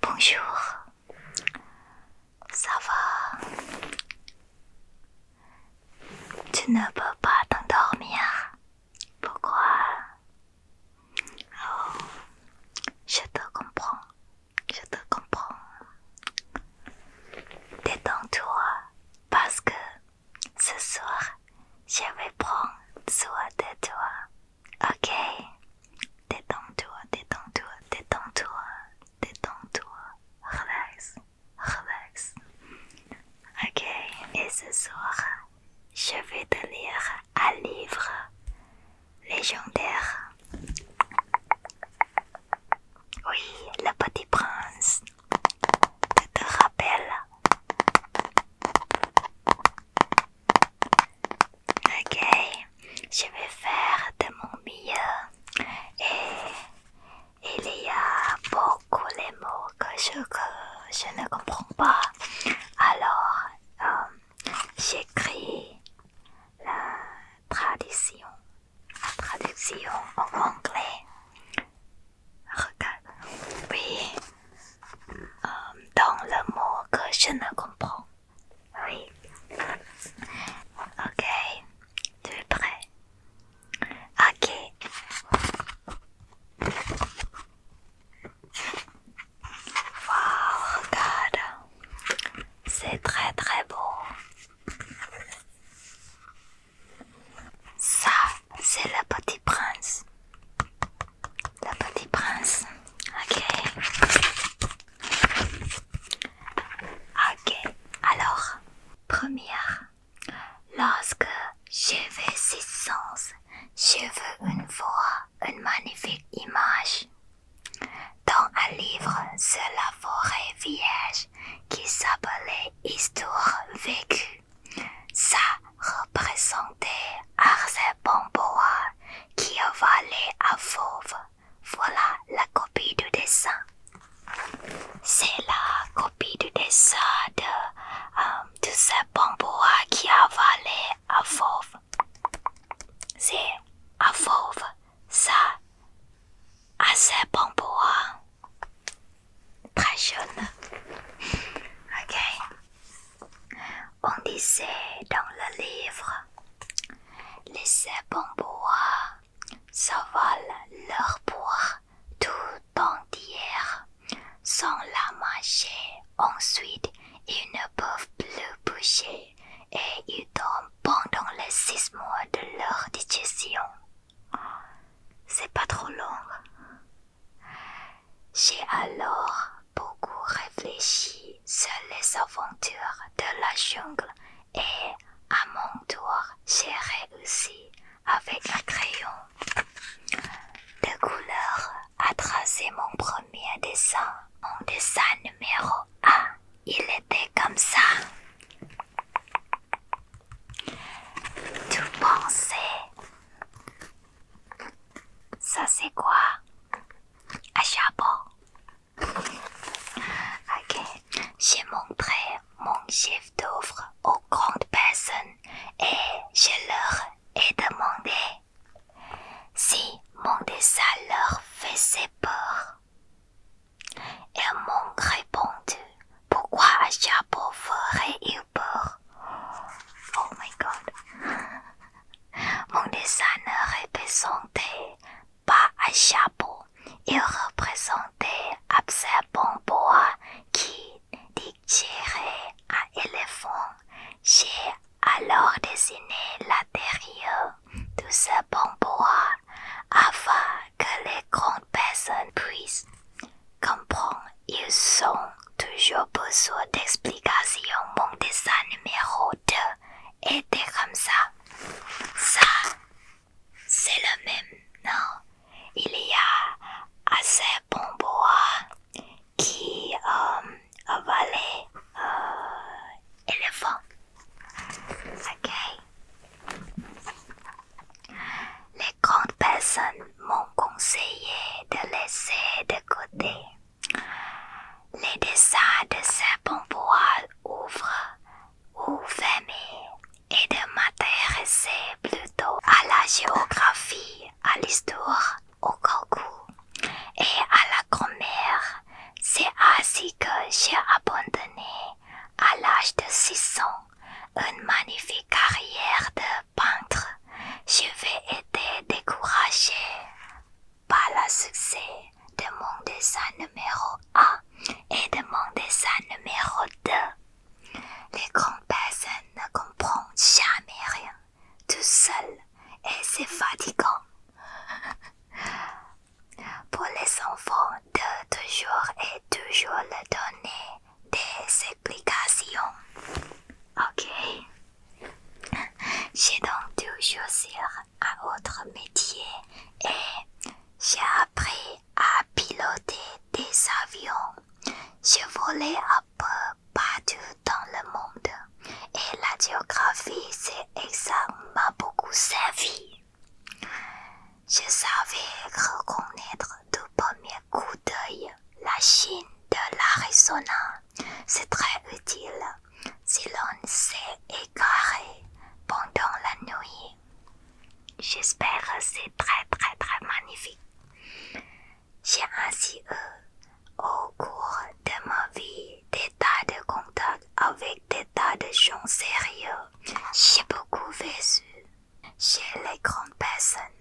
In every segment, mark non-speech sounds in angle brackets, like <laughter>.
Bonjour, ça va Tu ne peux pas t'endormir Pourquoi Oh, je te comprends, je te comprends. Détends-toi parce que ce soir je vais prendre soin de toi. Ok, détends-toi, détends-toi, détends-toi, détends-toi, relax, relax. Ok, et ce soir, je vais te lire un livre légendaire. Oui, le petit prince. Je te rappelle Ok, je vais faire de mon mieux et il y a beaucoup de mots que je, ne comprends pas. Alors, euh, j'écris la traduction, la traduction en anglais. Regarde, oui, euh, dans le mot que je ne comprends. Oui. Ok. Tu es prêt Ok. waouh, regarde. C'est très très beau. Ça, c'est le petit prince. Le petit prince. Ok. Ok. Alors, première, lorsque je veux six sens, je veux une voix, une magnifique image. Dans un livre sur la forêt vierge qui s'appelait Histoire vécue, ça Présenter Arsène Bois qui a valait à Fauve. Voilà la copie du dessin. C'est la copie du dessin de, euh, de ce qui avalait à Fauve. C'est à Fauve, ça, à ce Très jeune. Ok. On disait dans le livre, les serpents bois s'avalent leur poire tout entière sans la manger. Ensuite, ils ne peuvent plus bouger et ils tombent pendant les six mois de leur digestion. C'est pas trop long. J'ai alors beaucoup réfléchi sur les aventures de la jungle et, à mon tour, j'ai réussi avec un crayon de couleur à tracer mon premier dessin, en dessin numéro 1. Il était comme ça. Tout pensait ça c'est quoi Un chapeau. Ok, j'ai montré mon chef d'œuvre aux grandes personnes et je leur ai demandé si mon dessin leur faisait peur. et m'ont répondu pourquoi un chapeau ferait-il Oh my god. <laughs> Mon ne représentait pas un chapeau. Il représentait bon bois qui digérait un éléphant. J'ai alors dessiné l'intérieur de ce bon bois afin que les grandes personnes puissent comprendre ils sont toujours besoin d'explications. Mon dessin numéro 2 était comme ça. Ça, c'est le même, non Il y a assez bon bois qui euh, avalait euh, éléphant. Ok. Les grandes personnes m'ont conseillé de laisser de côté. Les dessins de serpents voiles ouvrent ou fermés et de m'intéresser plutôt à la géographie, à l'histoire, au calcul et à la grammaire. C'est ainsi que j'ai abandonné à l'âge de 6 ans une magnifique carrière de peintre, je vais être découragé par le succès de mon dessin numéro 1 et de mon dessin numéro 2. Les grandes personnes ne comprennent jamais rien, tout seul, et c'est fatigant. <laughs> Pour les enfants de toujours et toujours le donner des explications. Ok. <laughs> J'ai donc toujours choisir un autre métier et j'ai appris à piloter des avions. Je volais un peu partout dans le monde et la géographie s'est m'a beaucoup servi. Je savais reconnaître du premier coup deuil la Chine de l'Arizona. C'est très utile si l'on s'est égaré pendant la nuit. J'espère c'est très très très magnifique. J'ai ainsi eu, au cours de ma vie, des tas de contacts avec des tas de gens sérieux. J'ai beaucoup vécu chez les grandes personnes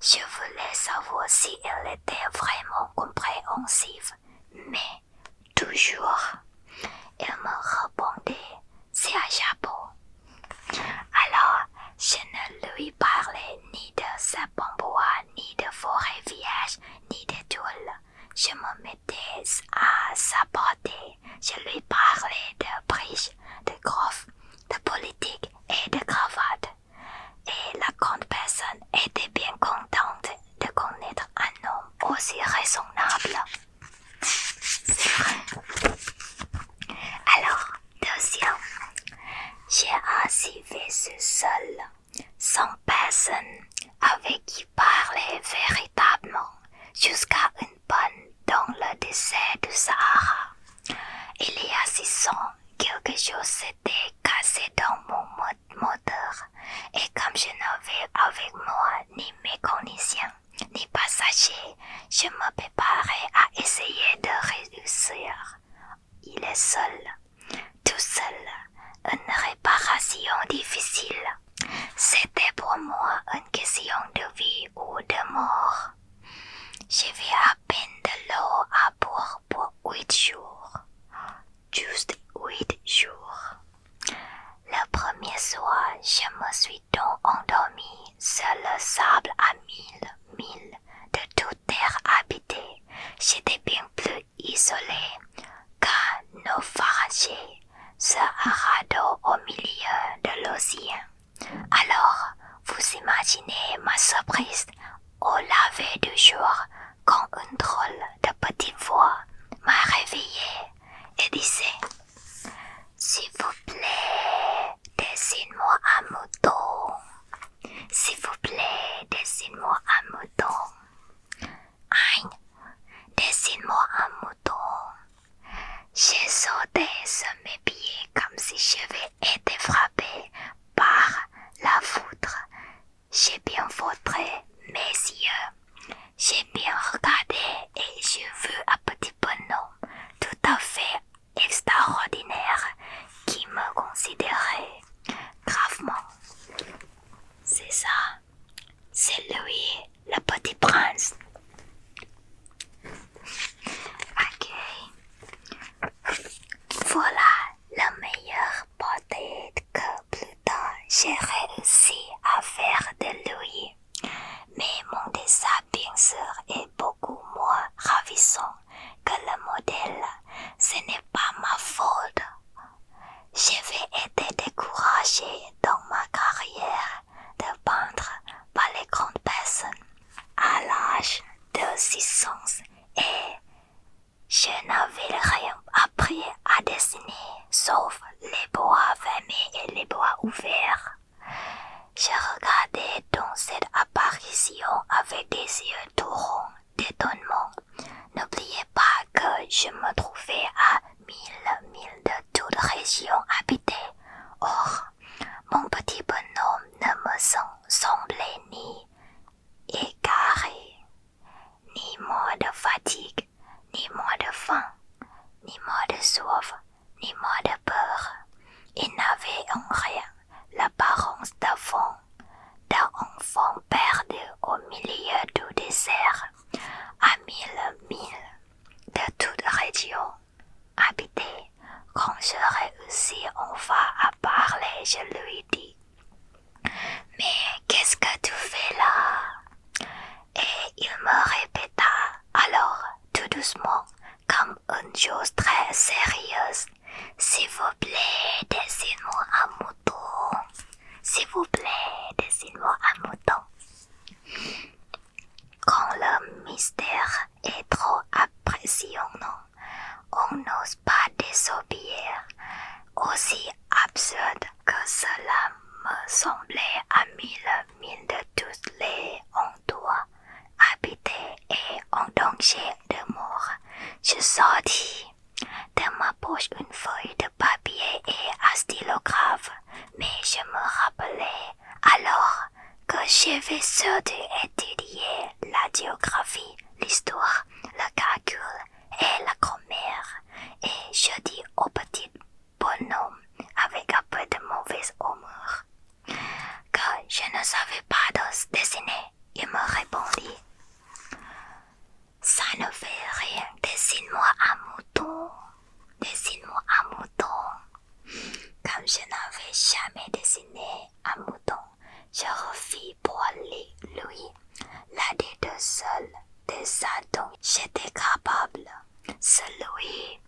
je voulais savoir si elle était vraiment compréhensive, mais toujours, elle me répondait c'est un chapeau. Alors, je ne lui parlais ni de sapin-bois, ni de forêt vierge, ni de tulle. Je me mettais à sa portée. Je lui parlais de briches, de groffes, de politique et de cravate et la grande personne était bien contente de connaître un homme aussi raisonnable. C'est vrai. Alors, deuxième, j'ai ainsi ce seul, sans personne avec qui parler véritablement, jusqu'à une bonne dans le décès du Sahara. Il y a six ans, quelque chose s'est était cassé dans mon moteur et comme je n'avais avec moi ni mécanicien ni passagers, je me préparais à essayer de réussir. Il est seul, tout seul, une réparation difficile. C'était pour moi une question de vie ou de mort. Je vais peine de l'eau à boire pour huit jours. Juste huit jours. Le premier soir, je me suis donc endormie sur le sable à mille mille de toute terre habitée. J'étais bien plus isolée qu'un naufragé sur un radeau au milieu de l'océan. Alors, vous imaginez ma surprise au lever du jour quand une drôle de petite voix m'a réveillée et disait S'il vous plaît, dessine-moi un mouton. S'il vous plaît, dessine-moi un mouton. Aïe, dessine-moi un mouton. J'ai sauté sur mes pieds comme si j'avais été frappée par la foudre. J'ai bien foutré mes yeux, j'ai bien regardé et je veux un petit bonhomme tout à fait extraordinaire qui me considérait gravement. C'est ça, c'est lui, le petit prince. Ok. Voilà la meilleure portée que plus tard j'ai réussi à faire de lui. Mais mon dessin, bien sûr, est beaucoup moins ravissant que le modèle. Ce n'est pas ma faute. J'avais été découragée dans ma carrière de peintre par les grandes personnes à l'âge de 6 ans et je n'avais rien appris à dessiner sauf les bois fermés et les bois ouverts. Je regardais dans cette apparition avec des yeux tout d'étonnement. N'oubliez pas que je me trouvais à mille milles de toute région habitée. Or, mon petit bonhomme ne me sent semblait ni égaré, ni mort de fatigue, ni mort de faim, ni mort de soif, ni mort de peur. Il n'avait en rien l'apparence d'enfant, d'un enfant perdu au milieu du désert, à mille milles de toute région habité. Quand je réussis enfin à parler, je lui dis Mais qu'est-ce que tu fais là Et il me répéta alors tout doucement, comme une chose très sérieuse S'il vous plaît, dessine-moi un mouton. S'il vous plaît, dessine-moi un mouton. Quand le mystère et trop impressionnant. On n'ose pas désobéir. Aussi absurde que cela me semblait à mille milles de tous les endroits habités et en danger de mort, je sortis de ma poche une feuille de papier et un grave, mais je me rappelais alors que j'avais surtout étudié la géographie, l'histoire, le calcul et la grammaire, et je dis au petit bonhomme avec un peu de mauvaise humeur que je ne savais pas dessiner. Il me répondit Ça ne fait rien, dessine-moi un mouton, dessine-moi un mouton. Comme je n'avais jamais dessiné un mouton, je refis pour lui, l'un des deux seuls dessins dont j'étais capable, celui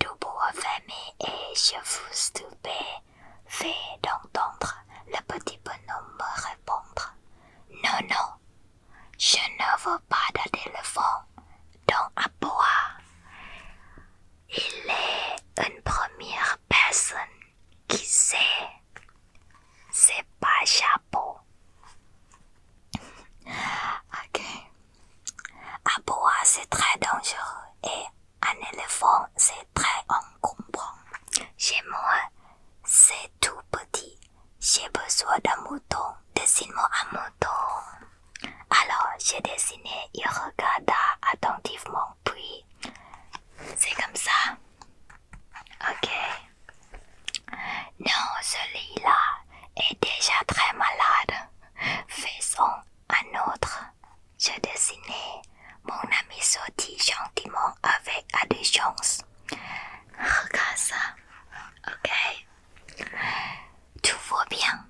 du bois fermé et je vous stupéfais fait d'entendre le petit bonhomme me répondre. Non, non, je ne veux pas de téléphone dans un bois. Il est une première personne qui sait. C'est pas chapeau. ok. bois, c'est très dangereux et un éléphant c'est très encombrant. Chez moi, c'est tout petit. J'ai besoin d'un mouton. Dessine-moi un mouton. Alors j'ai dessiné, il regarda attentivement, puis c'est comme ça. Ok. Non, celui-là est déjà très malade. Faisons un autre. J'ai dessiné, Mon ami sortit gentiment avec indulgence. Regarde ça. Ok. Tout vaut bien.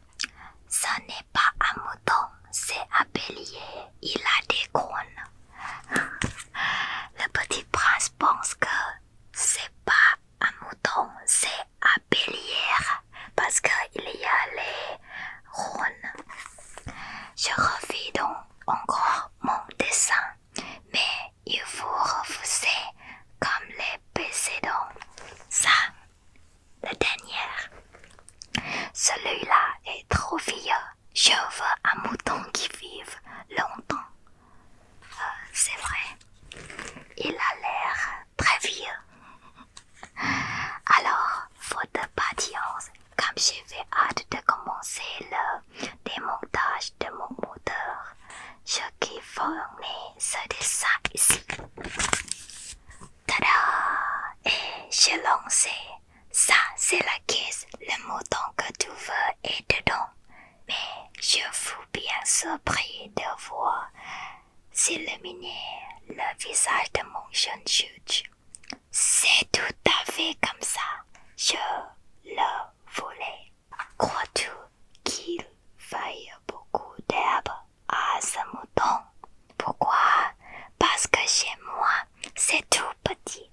Ce n'est pas un mouton, c'est un bélier. Il a des cornes. Le petit prince pense que c'est pas un mouton, c'est un bélier parce qu'il y a les cornes. Je refais donc encore mon dessin, mais il faut refuser comme les précédents. Ça, le dernier. Celui-là est trop vieux. Je veux un mouton qui vive longtemps. Euh, c'est vrai. Il a l'air très vieux. Alors, de patience, comme j'avais hâte de commencer le démontage de mon moteur, je qui fournis ce dessin ici. Tada! Et eh, j'ai lancé. Ça, c'est la caisse. Le mouton que tu veux est dedans. Mais je fous bien surpris de voir s'illuminer le visage de mon jeune juge. C'est tout à fait comme ça. Je le voulais. Crois-tu qu'il faille beaucoup d'herbe à ce mouton. Pourquoi Parce que chez moi, c'est tout petit.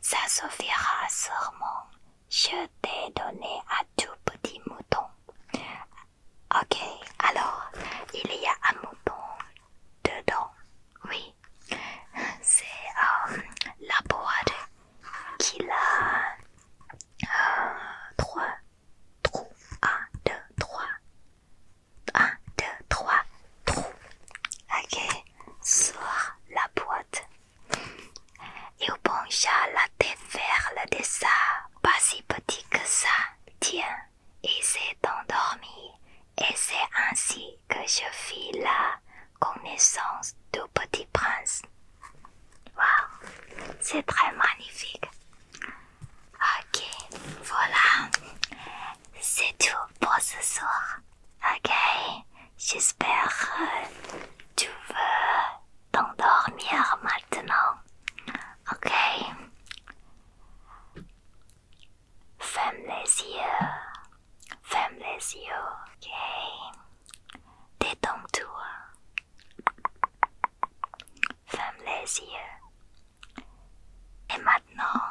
Ça suffira sûrement. Je t'ai donné un tout petit mouton. Ok, alors, il y a un mouton dedans. Oui, c'est euh, la boîte qu'il a 3 trous 1 2 3 1 2 3 trous ok sors la boîte Et il pencha la tête vers le dessin pas si petit que ça tiens il s'est endormi et c'est ainsi que je fis la connaissance du petit prince Wow, c'est très magnifique. Ok, voilà. C'est tout pour ce soir. Ok, j'espère que tu veux t'endormir maintenant. Ok. Ferme les yeux. Ferme les yeux, ok. Détends-toi. Ferme les yeux. Et maintenant,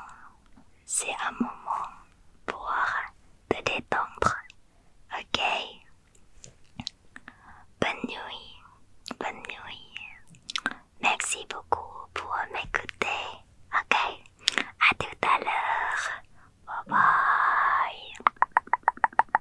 c'est un moment pour te détendre. Ok Bonne nuit. Bonne nuit. Merci beaucoup pour m'écouter. Ok À tout à l'heure. Bye bye.